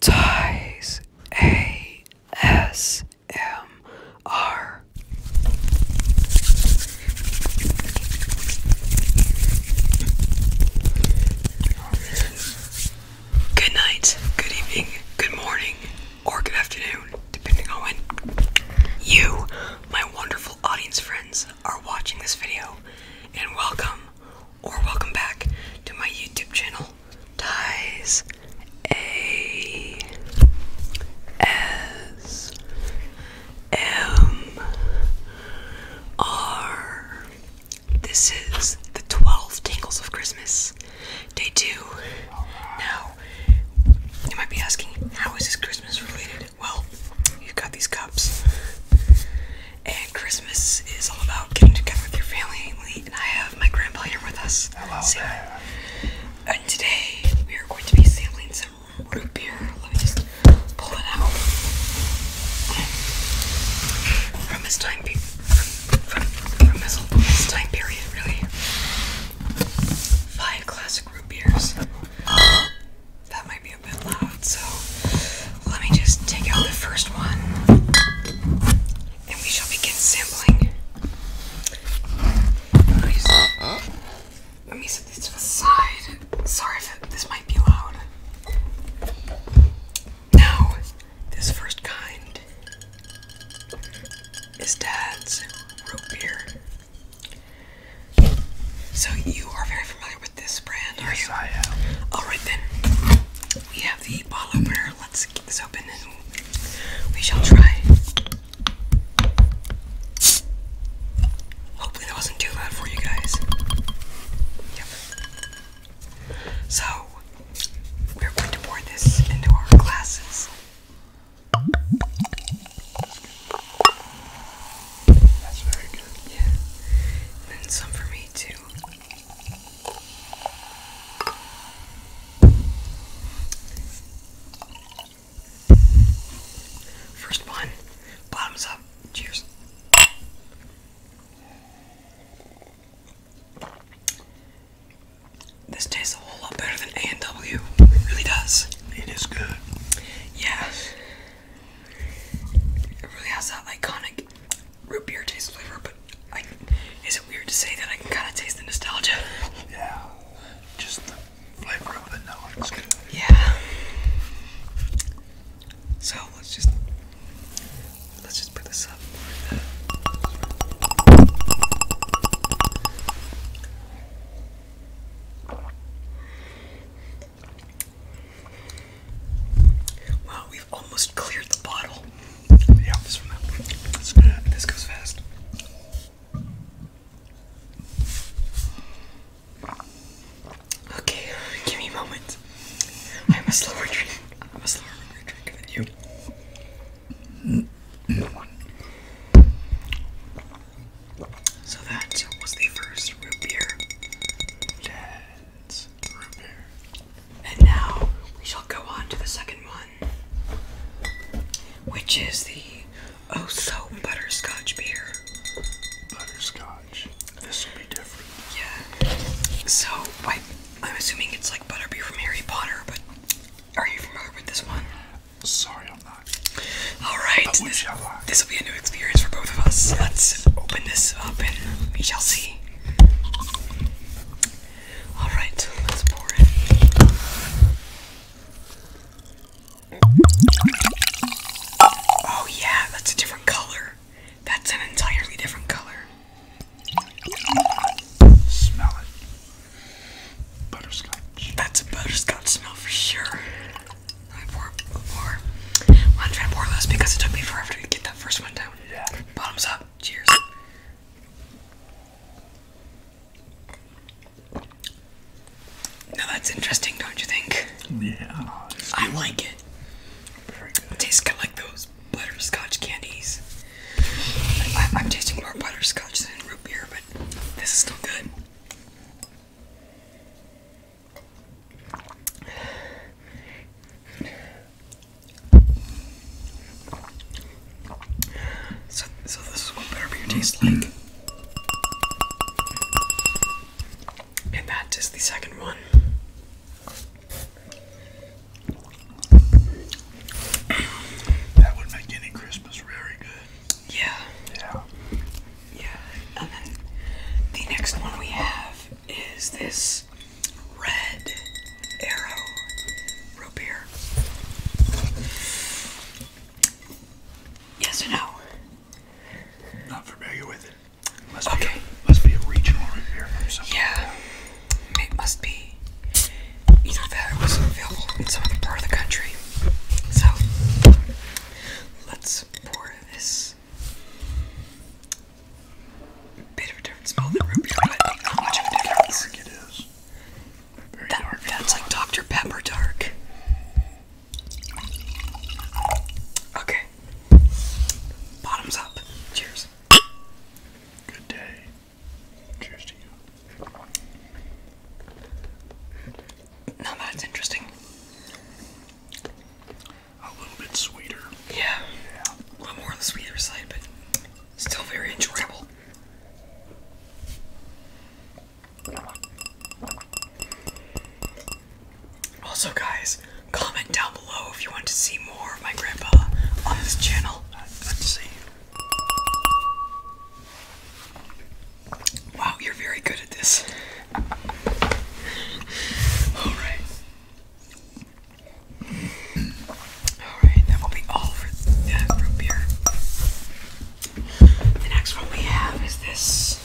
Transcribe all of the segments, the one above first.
Ties Good night, good evening, good morning, or good afternoon, depending on when you, my wonderful audience friends, are watching this video, and welcome or welcome back to my YouTube channel, Ties A S M R. This is the 12 Tingles of Christmas, day two. Now, you might be asking, how is this Christmas related? Well, you've got these cups and Christmas is all about getting together with your family. And I have my grandpa here with us. Hello And today we are going to be sampling some root beer. Let me just pull it out from this time period. this time period, really. Five classic root beers. That might be a bit loud, so let me just take out the first one and we shall begin sampling. Let me, set this to the side. Sorry if this might be loud. Now, this first kind is Dad's root beer. So, you are very familiar with this brand? Yes, are Alright then. We have the bottle opener. Let's get this open and we shall try. Hopefully that wasn't too loud for you guys. Yep. So we're going to pour this into our glasses. That's very good. Yeah. And some for me too. First one. Bottoms up. Cheers. This tastes a whole lot better than A&W. It really does. It is good. Yeah. It really has that iconic root beer taste flavor, but like, is it weird to say that I can kind of taste the nostalgia? Yeah, just the flavor of it now Yeah. So let's just let's just put this up. Wow, we've almost cleared the bottle. Yeah, this goes fast. Okay, give me a I'm a slower drink. I'm a slower drinker than you. Mm-hmm. So that was the first root beer. And now we shall go on to the second one, which is the oh so butterscotch beer. Butterscotch. This will be different. Yeah. So I, am assuming it's like butterbeer from Harry Potter, but are you familiar with this one? Sorry, I'm not. All right this will be a new experience for both of us. Let's open this up and we shall see. Alright, let's pour it. Oh, yeah, that's a different color. That's an entirely different color. Smell it. Butterscotch. That's a butterscotch smell for sure. I pour, less because it took me forever to get that first one down. Bottoms up. Cheers. Now that's interesting, don't you think? Yeah. I like it. tastes kind of like those butterscotch candies. I'm tasting more butterscotch than root beer, but this is still good. So, so this is what better butterbeer tastes like. And that is the second one. That would make any Christmas very good. Yeah. Yeah. Yeah. And then the next one we have is this red arrow root beer. Yes or no? Not familiar with it. okay. must be a regional root beer from somewhere. Yeah. It must be. Either that or was available in some other part of the country. So Let's pour this bit of a different smell oh, that root beer, but not much of a difference. Dark it is. Very that, dark. That's like Dr. Pepper dark. Okay. Bottoms up. Cheers. Good day. Cheers to you. Now that's interesting. A little bit sweeter. Yeah. yeah. A little more on the sweeter side, but still very enjoyable. Also, guys, comment down below if you want to see more of my grandpa on this channel. Let's see. Wow, you're very good at this. Alright. Alright, that will be all for that root beer. The next one we have is this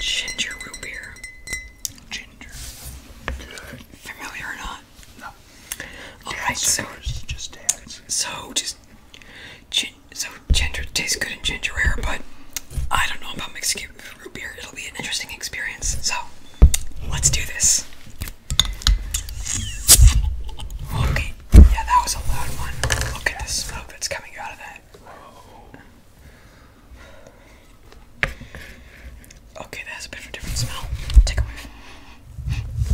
Ginger Root Beer. Ginger. Familiar or not? No. All so just So just so ginger tastes good in ginger ale, but I don't know about Mexican root beer. It'll be an interesting experience. So let's do this. Okay, yeah, that was a loud one. Look at the smoke that's coming out of that. Okay, that a bit of a different smell. Take a whiff.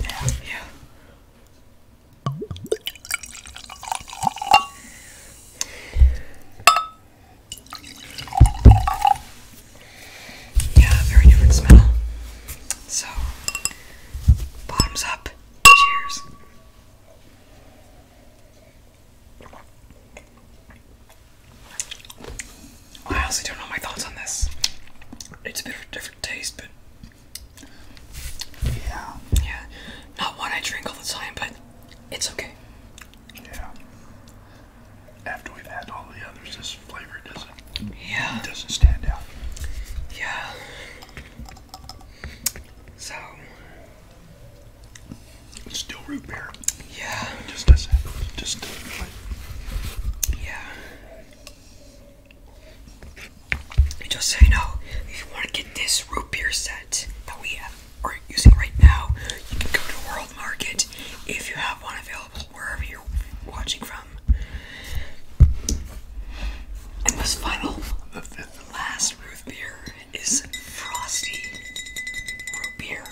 Yeah. Yeah. Yeah, very different smell. So, bottoms up. Cheers. I honestly don't know my thoughts on this. It's a bit of a different taste, but yeah. Yeah. Not one I drink all the time, but it's okay. Yeah. After we've had all the others, this flavor doesn't yeah. doesn't stand out. Yeah. So still root beer. Yeah. just doesn't just Yeah. Just so you know, if you want to get this root beer set that we are using right now, you can go to World Market if you have one available wherever you're watching from. And this final, the last root beer is Frosty Root Beer.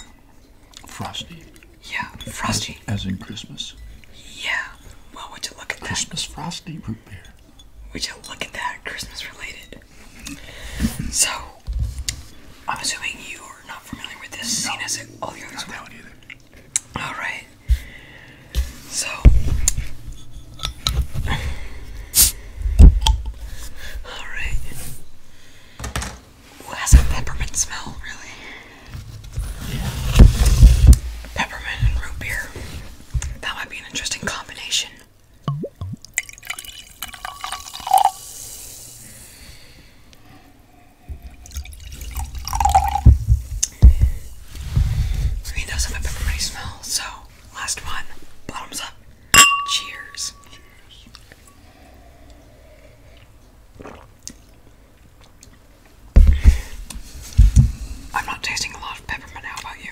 Frosty. Yeah, frosty. As, in Christmas. Yeah. Well, would you look at Christmas that? Christmas frosty root beer. Would you look at that? Christmas related. So, I'm assuming you are not familiar with this scene as all the others. Not that one either. All right. So. All right. Ooh, has a peppermint smell, really. Peppermint and root beer. That might be an interesting combination. It does have peppermint smell, so last one. Bottoms up. Cheers. I'm not tasting a lot of peppermint. How about you?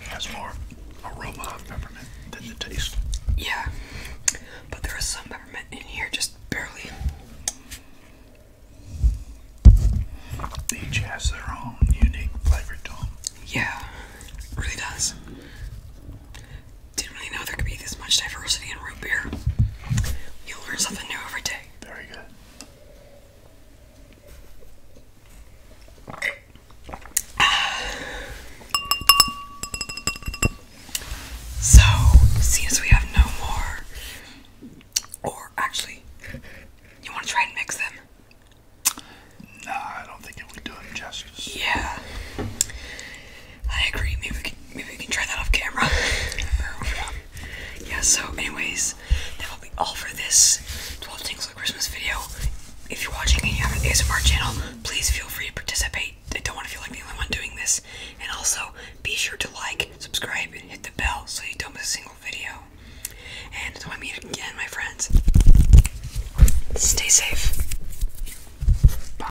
It has more aroma of peppermint than the taste. Yeah, but there is some peppermint in here, just barely. Each has their own unique flavor to them. Yeah, really does. Didn't really know there could be this much diversity in root beer. You learn something new every day. Very good. So, since we have no more, or actually, you want to try and mix them? Nah, I don't think it would do it justice. Yeah. I agree. Maybe we can, maybe we can try that off camera. yeah. So, anyways, that will be all for this 12 things of Christmas video. If you're watching and you have an ASMR channel, please feel free to participate. I don't want to feel like the only one doing this. And also, be sure to like, subscribe, and hit the bell so you don't miss a single video. And don't want I meet again, my friends, stay safe. Bye.